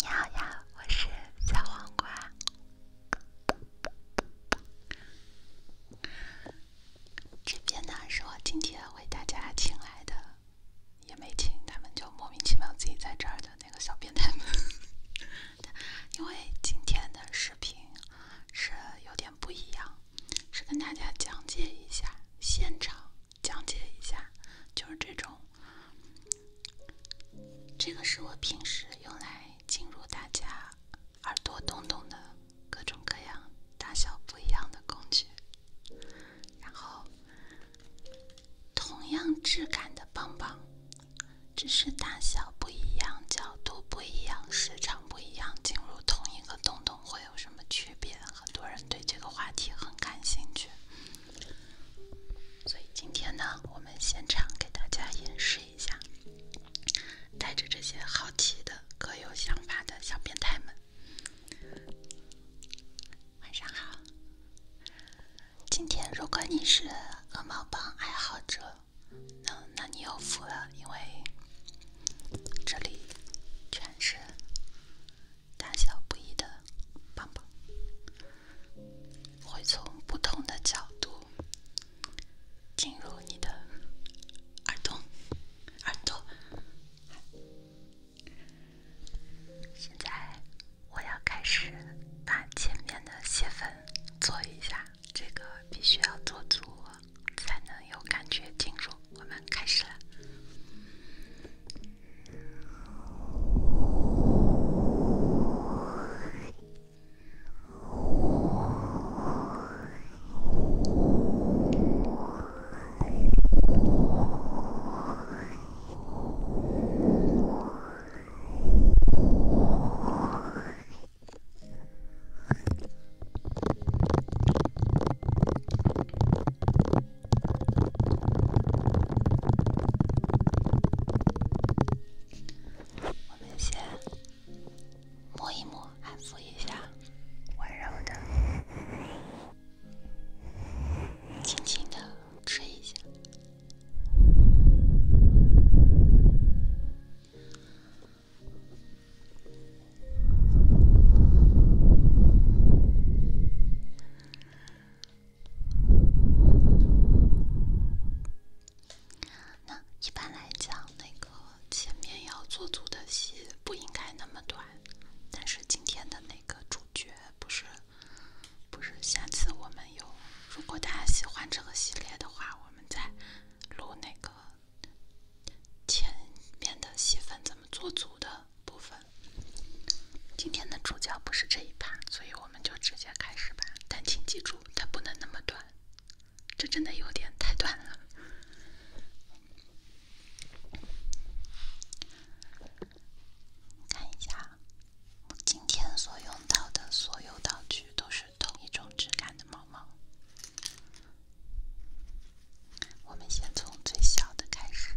你好呀，我是小黄瓜。这边呢，是我今天为大家请来的，也没请，他们就莫名其妙自己在这儿的那个小变态因为今天的视频是有点不一样，是跟大家讲解一下现场。讲解一下，就是这种，这个是我平时用来进入大家耳朵洞洞的各种各样、大小不一样的工具。然后，同样质感的棒棒，只是大小不一样、角度不一样、时长不一样，进入同一个洞洞会。会有什么区别？很多人对这个话题很感兴趣，所以今天呢，我们现场给大家演示一下。带着这些好奇的、各有想法的小变态们，晚上好。今天，如果你是鹅毛帮爱好者，那那你有福了，因为。这里全是大小不一的棒棒，会从不同的角度进入你的耳洞。耳朵现在我要开始把前面的卸粉做一下，这个必须要做足。才能有感觉进入。我们开始了。我们先摸一摸，安抚一下，温柔的，轻轻的吹一下。那一般来讲，那个前面要做足的戏不应该那么短。但是今天的那个主角不是，不是。下次我们有，如果大家喜欢这个系列的话，我们再录那个。前面的戏份怎么做足的部分，今天的主角不是这一趴，所以我们就直接开始吧。但请记住，它不能那么短，这真的有点太短了。看一下，今天所用到的所有道具都是同一种质感的毛毛。我们先从最小的开始，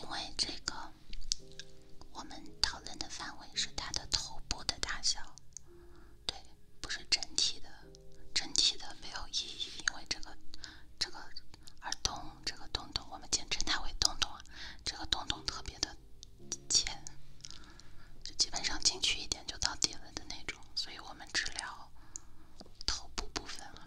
因为这个。我们讨论的范围是它的头部的大小，对，不是整体的，整体的没有意义，因为这个、这个耳洞，这个洞洞，我们简称它为洞洞啊，这个洞洞特别的浅，就基本上进去一点就到底了的那种，所以我们只聊头部部分了。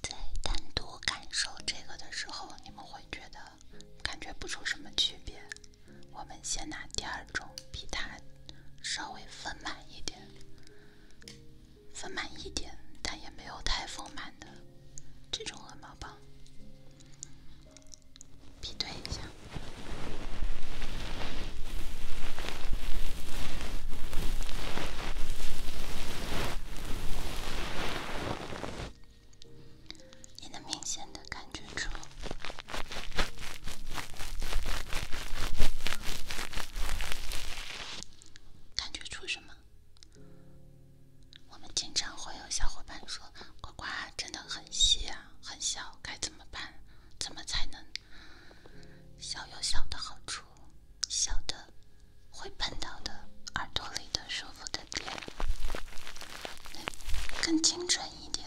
在单独感受这个的时候，你们会觉得感觉不出什么区别。我们先拿第二种，比它稍微丰满一点，丰满一点，但也没有太丰满的。这种鹅毛棒，比对一下，你能明显的感觉出，感觉出什么？我们经常会有小伙伴说：“呱呱真的很细啊，很小，该怎么办？怎么才能小有小的好处？小的会碰到的耳朵里的舒服的点，更精准一点。”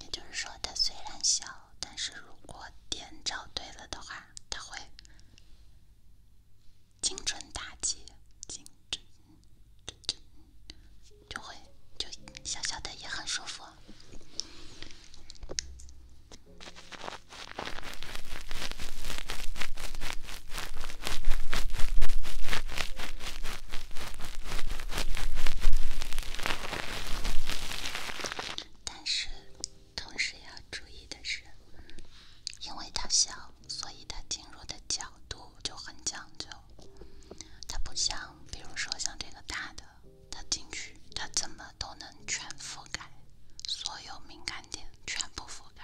也就是说。它虽然小，但是如果点找对了的话，它会精准打击，精准，准准，就会就小小的也很舒服。但是，同时要注意的是，因为它小，所以它进入的角度就很讲究。它不像，比如说像这个大的，它进去，它怎么都能全覆盖，所有敏感点全部覆盖。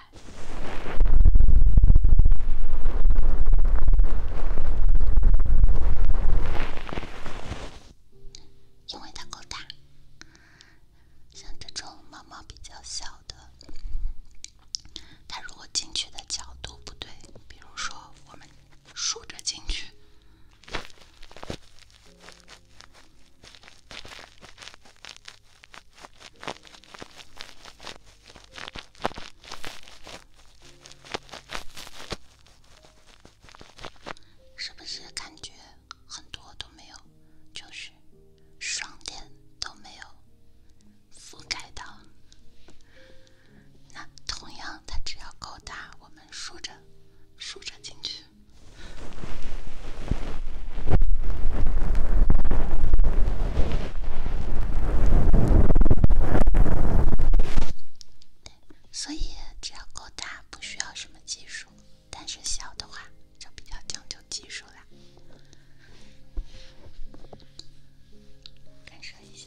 因为它够大，像这种猫猫比较小的，它如果进去的角度不对，比如说我们竖着进去。是不是感觉很多都没有？就是双点都没有覆盖到。那同样，它只要够大，我们竖着、竖着进去。对，所以只要够大，不需要什么技术；但是小的话，就比较讲究技术啦。感受一下。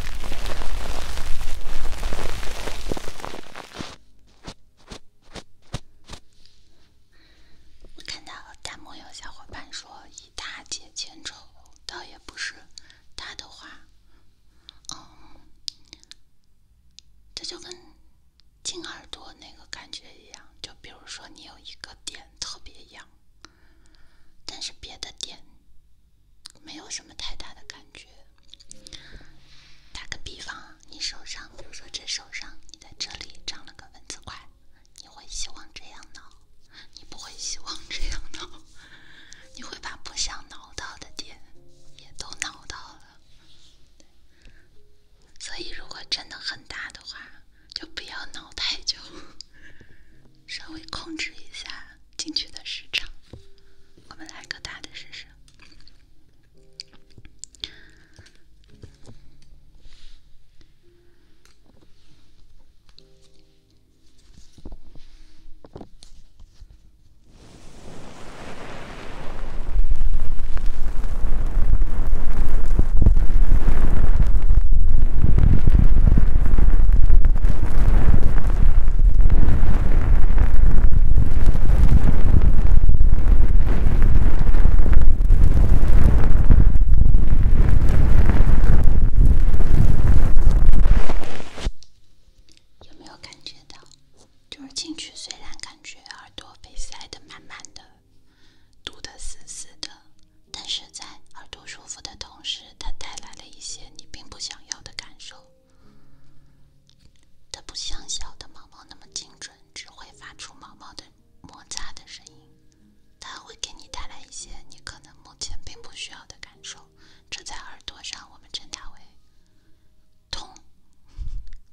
我看到了弹幕有小伙伴说“一大姐千愁”，倒也不是，他的话，嗯，这就跟进耳朵那个感觉一样。就比如说，你有一个点特别痒。但是别的点没有什么太大的感觉。打个比方，你手上，比如说这手上，你在这里长了个蚊子块，你会希望这样挠？你不会希望这样挠？你会把不想挠到的点也都挠到了。所以，如果真的很大的话，就不要挠太久。稍微控制一下进去的时长，我们来个大的试试。有没有感觉到？就是进去，虽然感觉耳朵被塞得满满的，堵得死死的。但是在耳朵舒服的同时，它带来了一些你并不想要的感受。它不像小的毛毛那么精准，只会发出毛毛的摩擦的声音。它会给你带来一些你可能目前并不需要的感受。这在耳朵上，我们称它为痛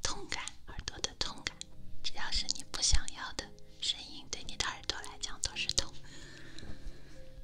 痛感，耳朵的痛感。只要是你不想要的声音，对你的耳朵来讲都是痛。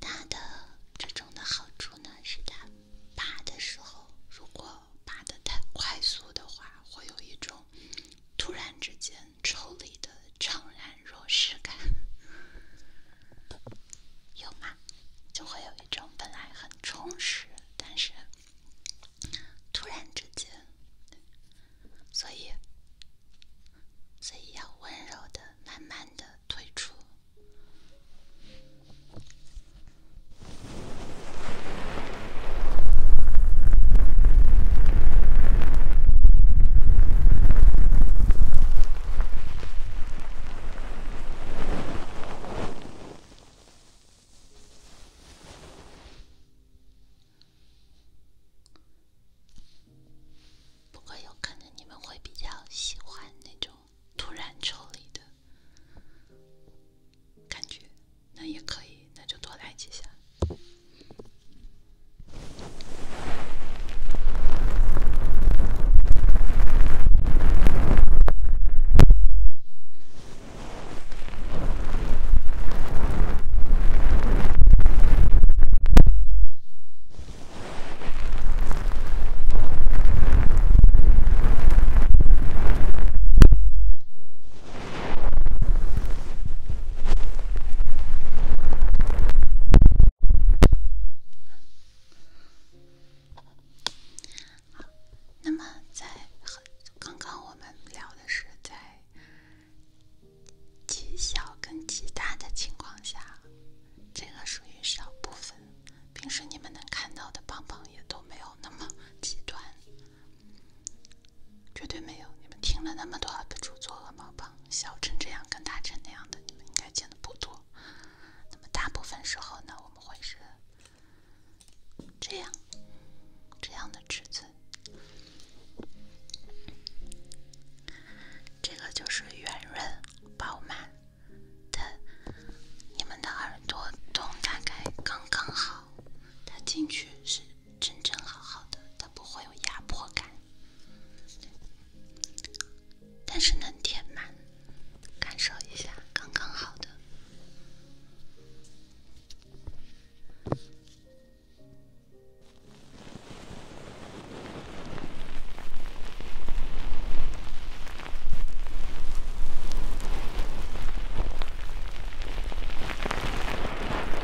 它的这种的好处呢，是它拔的时候，如果拔的太快速的话，会有一种。突然之间抽离的怅然若失感，有吗？就会有一种本来很充实，但是突然之间，所以，所以要温柔的、慢慢的退出。不过，有可能你们会比较喜欢那种突然抽离的感觉。那也可以，那就多来几下。好，那么在刚刚我们聊的是在极小跟极大的情况下，这个属于少部分。平时你们能看到的棒棒也都没有那么极端。绝对没有！你们听了那么多的主做鹅毛棒，小陈这样，跟大陈那样的，你们应该见的不多。那么大部分时候呢，我们会是这样这样的尺寸。这个就是圆润饱满的，你们的耳朵洞大概刚刚好，它进去是。真正好好的，它不会有压迫感，但是能填满，感受一下刚刚好的。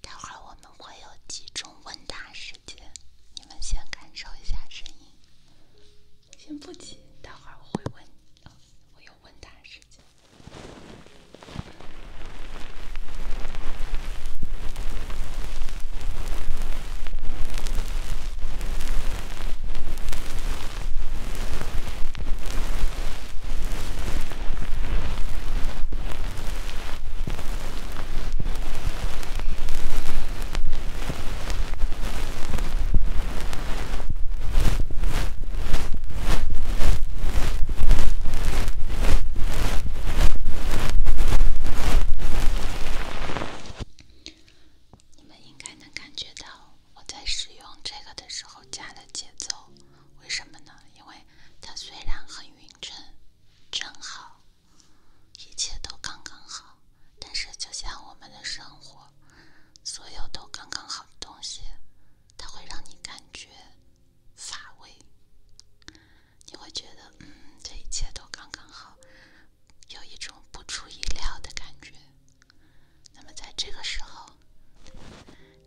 待会儿我们会有集中问答时间，你们先感受一下声音，先不急，待会儿我会问，我有问答时间。你们应该能感觉到。我在使用这个的时候加了节奏，为什么呢？因为它虽然很匀称，正好，一切都刚刚好，但是就像我们的生活，所有都刚刚好的东西，它会让你感觉乏味，你会觉得，嗯，这一切都刚刚好，有一种不出意料的感觉。那么，在这个时候，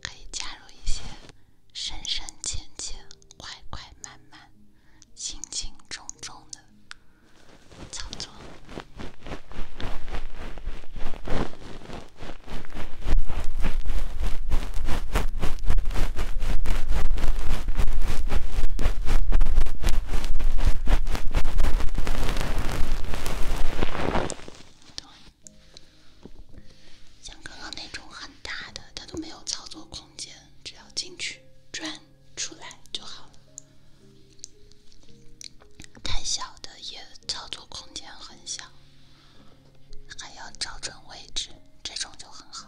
可以加入一些深深浅浅、快快慢慢、轻轻重重的操作。像刚刚那种很大的，它都没有操作空间，只要进去转出来就好了。太小的也操作空间很小，还要找准位置，这种就很好。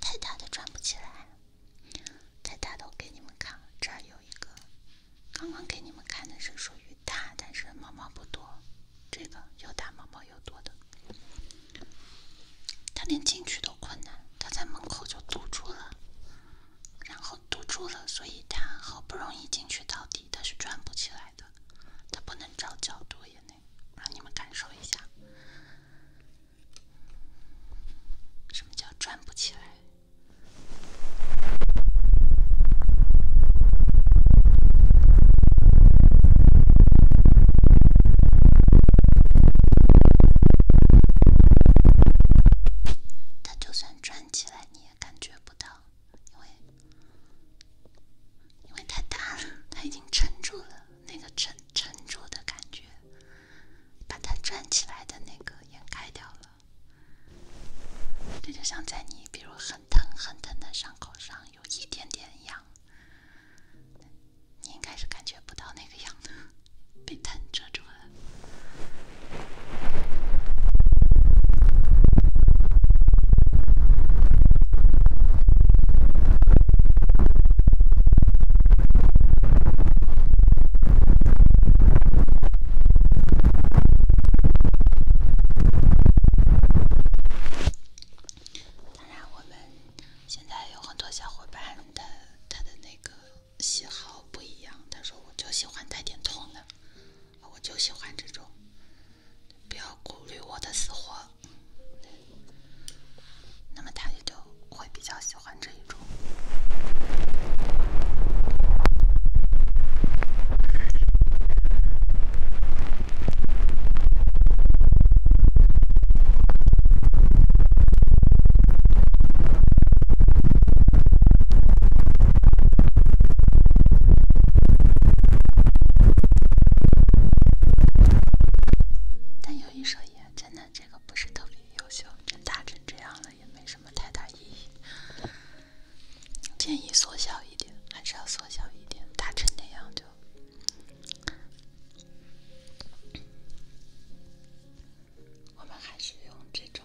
太大的转不起来，再大都给你们看。这儿有一个，刚刚给你们看的是属于大，但是毛毛不多。这个又大毛毛又多的，它连进去都困难，它在门口就堵住了，然后堵住了，所以它好不容易进去到底，它是转不起来的，它不能找角度也。让你们感受一下，什么叫转不起来。它就算转起来，你也感觉不到，因为。因为太大了，它已经撑住了，那个撑撑住的感觉，把它转起来的那个掩盖掉了。这就像在你比如很疼很疼的伤口上有一点点痒，你应该是感觉不到那个痒的，被疼遮住了。当然，我们现在有很多小伙伴的他的那个喜好不一样。他说，我就喜欢带点痛的，我就喜欢这种。不要顾虑我的死活，那么他也就会比较喜欢这一种。但有一说一，真的这个不是特别优秀，打成这样了也没什么太大意义。建议缩小一点，还是要缩小一点，打成那样就。我们还是用这种。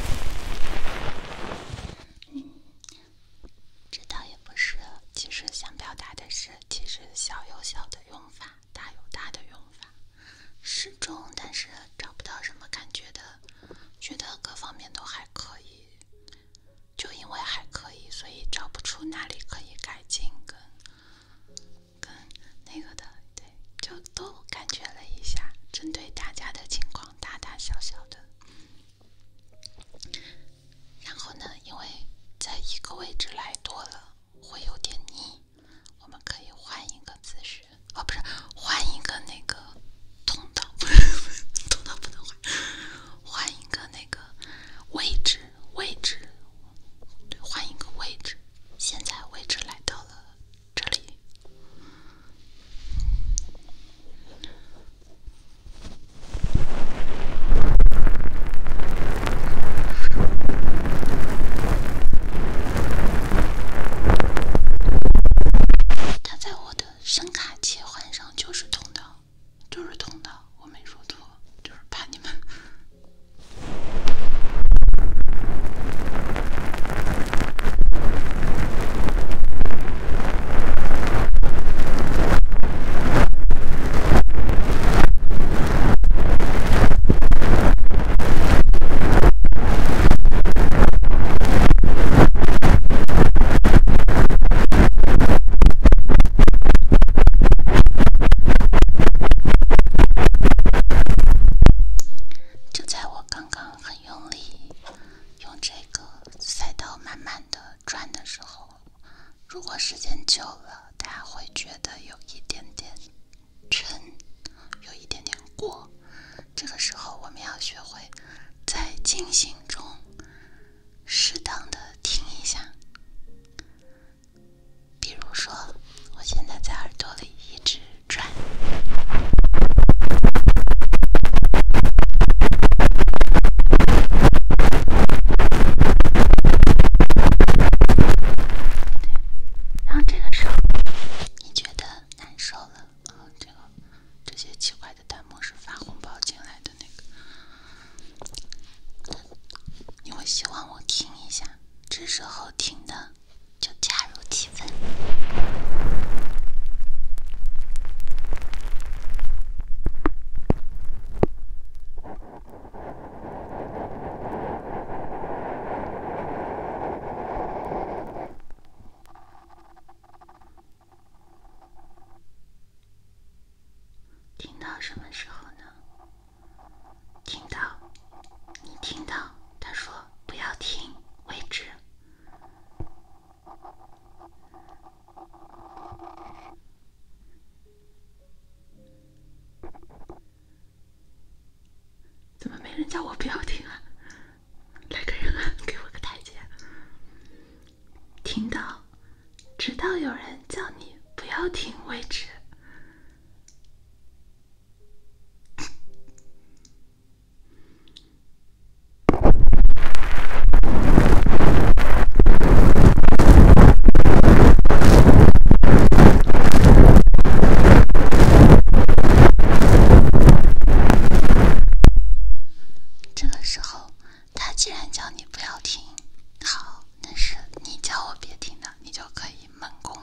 嗯，这倒也不是。其实想表达的是，其实小有小的用法，大有大的用法。适中，但是找不到什么感觉的，觉得各方面都还可以。就因为还可以，所以找不出哪里可以改进跟跟。那个的，对，就都感觉了一下，针对大家的情况，大大小小的。然后呢，因为在一个位置来多了会有点腻，我们可以换一个姿势，哦，不是，换一个那个通道，通道不能换，换一个那个位置，位置，对，换一个位置。现在位置来到了。这里，它在我的声卡切换上就是通道，就是通道，我没说错，就是怕你们。就在我刚。刚刚很用力，用这个赛道慢慢的转的时候，如果时间久了，大家会觉得有一点点沉，有一点点过。这个时候，我们要学会在进行中适当的停一下。比如说，我现在在耳朵里一直。转。然后这个时候你觉得难受了，然后这个这些奇怪的弹幕是发红包进来的那个，你们希望我听一下，这首好听的。就加入气氛。听到什么时候呢？听到，你听到他说。不要停，为止。怎么没人叫我不要停啊？来个人啊，给我个台阶。听到，直到有人叫你不要停为止。这个时候，他既然叫你不要听，好，那是你叫我别听的，你就可以猛攻。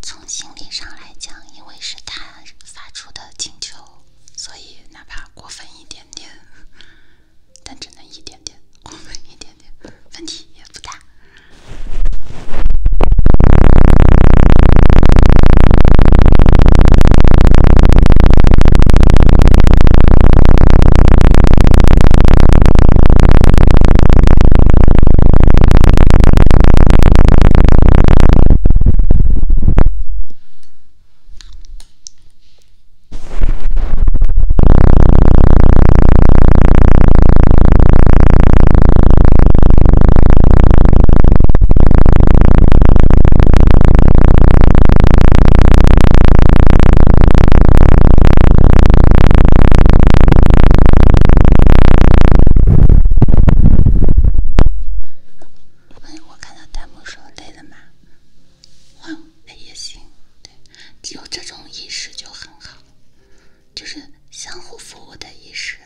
从心理上来讲，因为是他发出的请求，所以哪怕过分一点点。但只能一点点，我们一点点，问题也不大。我看到弹幕说累了吗？换也行，对，有这种意识就很好，就是相互服务的意识。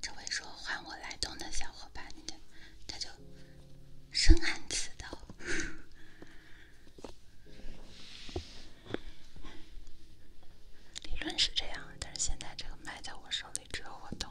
这位说换我来动的小伙伴，他他就深谙此道。理论是这样，但是现在这个麦在我手里，只有我动。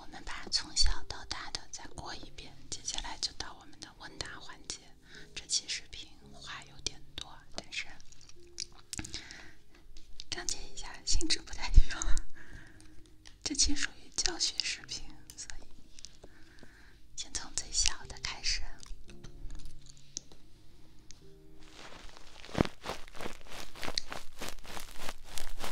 我们把从小到大的再过一遍，接下来就到我们的问答环节。这期视频话有点多，但是讲解一下，性质不太一样。这期属于教学视频，所以先从最小的开始。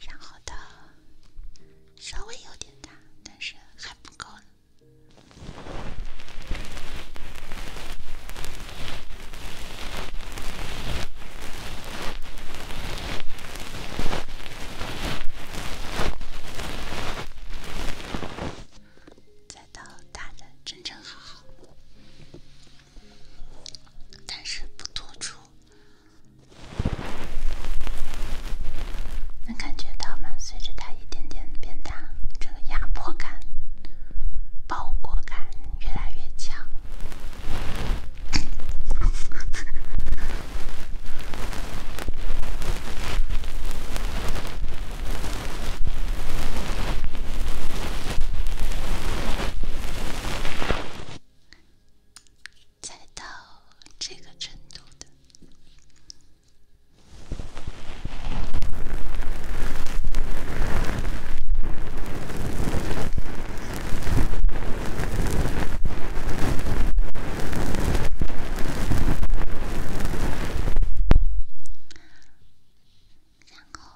然后到稍微有点大，但是还不够呢。再到大的正正好好。但是不突出，能感觉到吗？随着它一点点变大，这个压迫感、包裹感越来越强。才到这个程度的，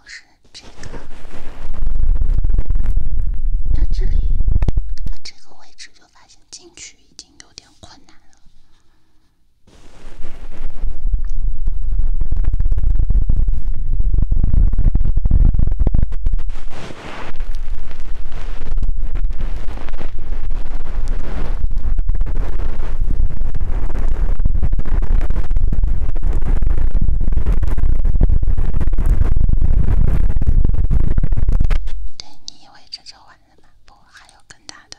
是。这个，到这里，到这个位置就发现进去已经有点困难了。对，你以为这就完了吗？不，还有更大的。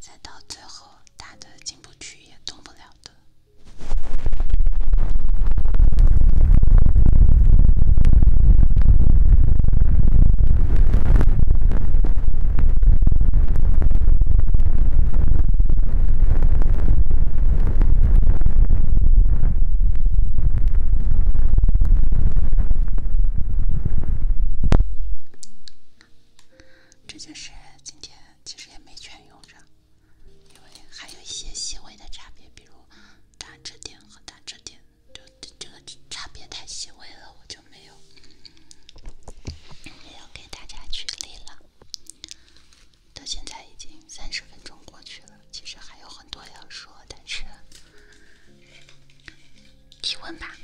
再到最后，大的进不去，也动不了的。这就是今天，其实也没全用上，因为还有一些细微的差别，比如“打折点”和“打折点”。就这个差别太细微了，我就没有没有给大家举例了。到现在已经三十分钟过去了，其实还有很多要说，但是提问吧。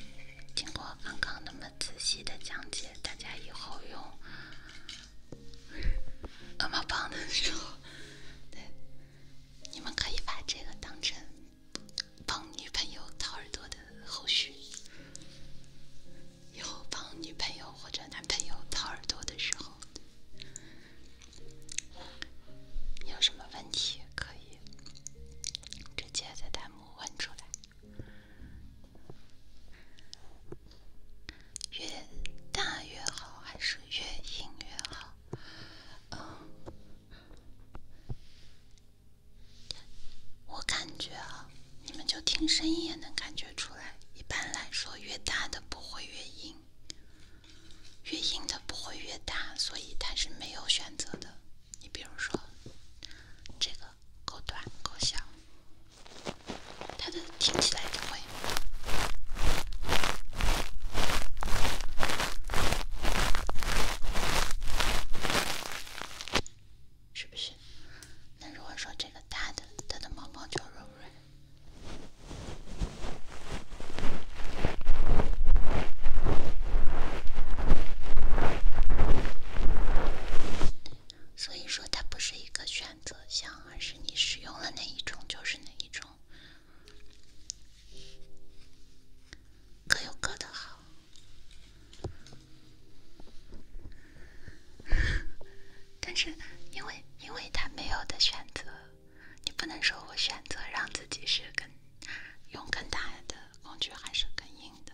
经过刚刚那么仔细的讲解，大家以后用鹅毛棒的时候，对，你们可以把这个当成。帮女朋友掏耳朵的后续，以后帮女朋友或者男朋友掏耳朵的时候，有什么问题可以直接在弹幕问出来。越大越好还是越硬越好？嗯，我感觉啊，你们就听声音也能感觉出来。一般来说，越大的不会越硬，越硬的不会越大，所以它是没有选择的。你比如说，这个够短够小，它的听起来就会。是不是？那如果说这个大的，它的毛毛就柔软。所以说，它不是一个选择项，而是你使用了哪一种就是哪一种。各有各的好，但是因为因为他没有的选择，你不能说我选择让自己是更用更大的工具还是更硬的，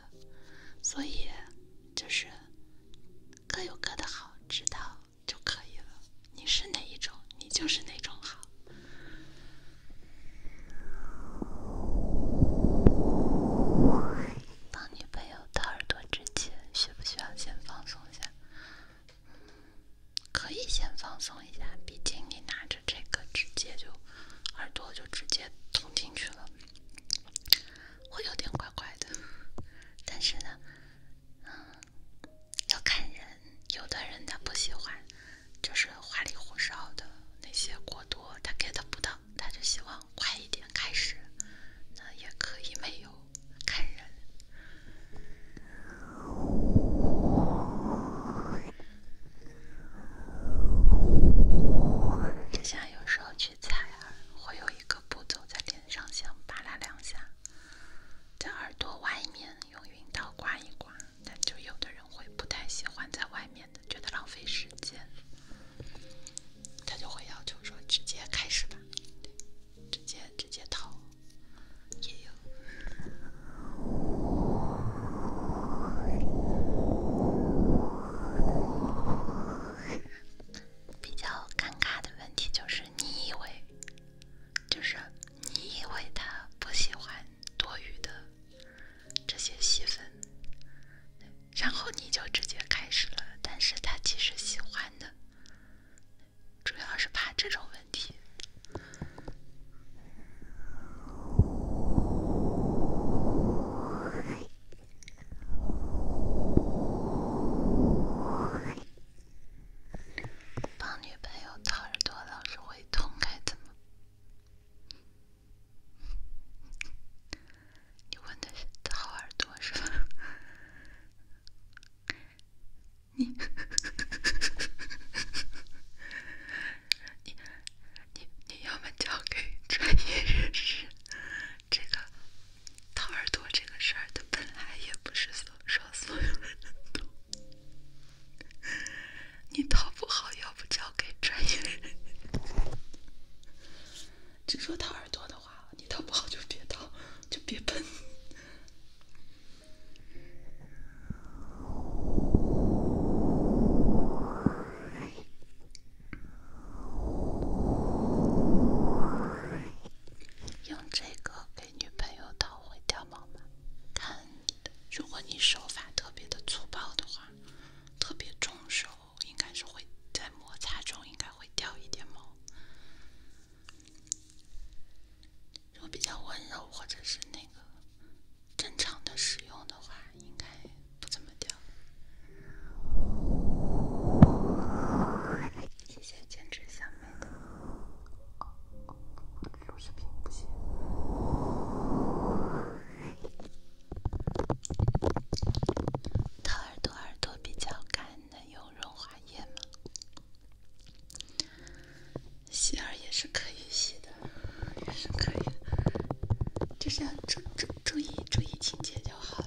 所以就是各有各的好，知道就可以了。你是哪一种，你就是哪种好。当女朋友掏耳朵之前，需不需要先放松一下？可以先放松一下，毕竟你拿着这个直接就耳朵就直接捅进去了，会有点怪怪的。但是呢，嗯，要看人，有的人他不喜欢。就是花里胡哨的那些过多，他 get 不到，他就希望快一点开始。那也可以没有，看人。就像有时候去采耳，会有一个步骤在脸上先扒拉两下，在耳朵外面用熨刀刮一刮。但就有的人会不太喜欢在外面的，觉得浪费时间，他就会要求说直接开始吧，对，直接直接套。比较尴尬的问题，就是你以为，就是你以为他不喜欢。多余的这些戏份，然后你就直接开始了。但是他其实喜欢的，主要是怕这种问题。半夜没有掏耳朵，老是会痛，该怎么？你问的是掏耳朵是吧？你 你你要么交给专业人士，这个掏耳朵这个事儿，它本来也不是说所有人都。你掏不好，要不交给专业。人 就说掏耳朵的话，你掏不好就别掏，就别喷。用这个给女朋友掏会掉毛吗？看你。如果你手法特别的粗暴的话，特别重手，应该是会在摩擦中应该会掉一点毛。如果比较温柔或者是那个正常的使用的话，应该不怎么掉。谢谢坚持小妹。录视频不行。他耳朵耳朵比较干，能用润化液吗？洗耳也是可以洗的，也是可以的，就是要注意注意注意清洁就好了。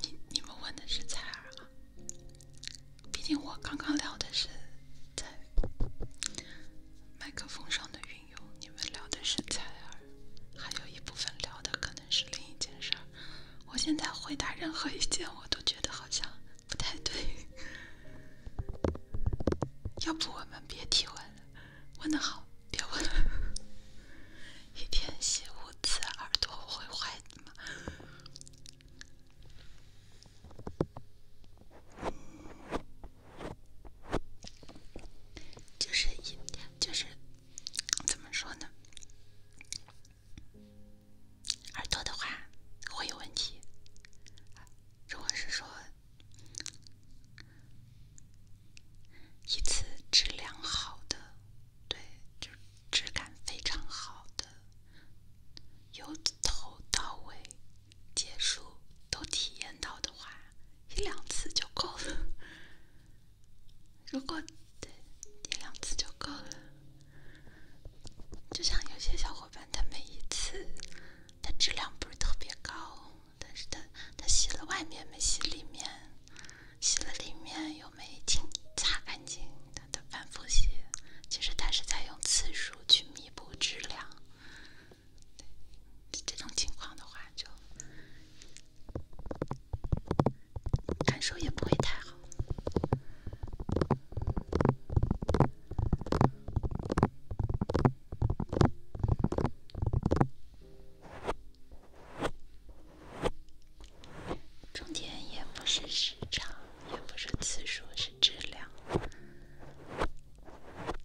你你们问的是采儿啊，毕竟我刚刚聊的是在麦克风上的运用，你们聊的是采儿，还有一部分聊的可能是另一件事儿。我现在回答任何一件，我都觉得好像不太对。要不我们别提问了？问得好，别问了。一天洗五次耳朵会坏的吗？就是一就是怎么说呢？耳朵的话会有问题。如果是说一次质量好的，对，就。质感非常好的，由头到尾结束都体验到的话，一两次就够了。如果对一两次就够了，就像有些小伙伴，他每一次他质量不是特别高，但是他他洗了外面没洗里面。洗了里面又没清，擦干净，他他反复洗，其实它是在用次数去弥补质量。这种情况的话，就感受也不会太好。重点也不是时长，也不是次数，是质量。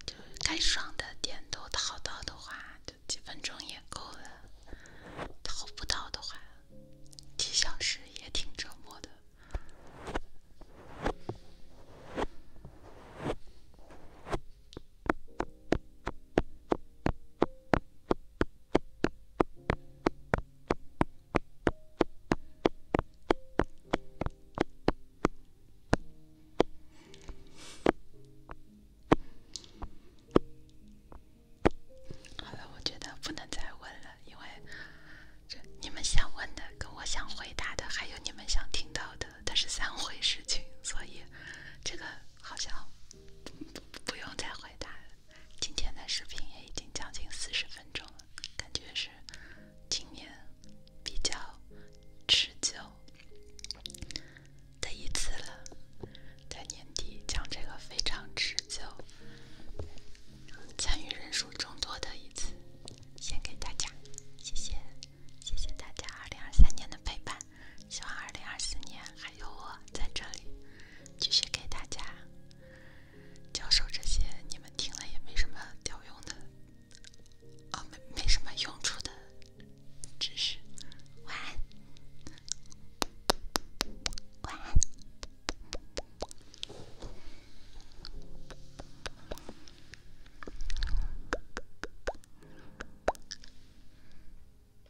就该爽的点都淘到的话，就几分钟也够了；淘不到的话，几小时也挺折磨的。好了，我觉得不能再问了，因为这你们想问的、跟我想回答的，还有你们想听到的，它是三回事情，所以这个好像不用再回答了。今天的视频也已经将近四十分钟了，感觉是今年比较持久的一次了，在年底将这个非常持久、参与人数众多的一次，献给大家，谢谢，谢谢大家二零二三年的陪伴。希望二零二四年还有我在这里，继续给大家教授这些你们听了也没什么屌用的，哦，没没什么用处的知识。晚安，晚安。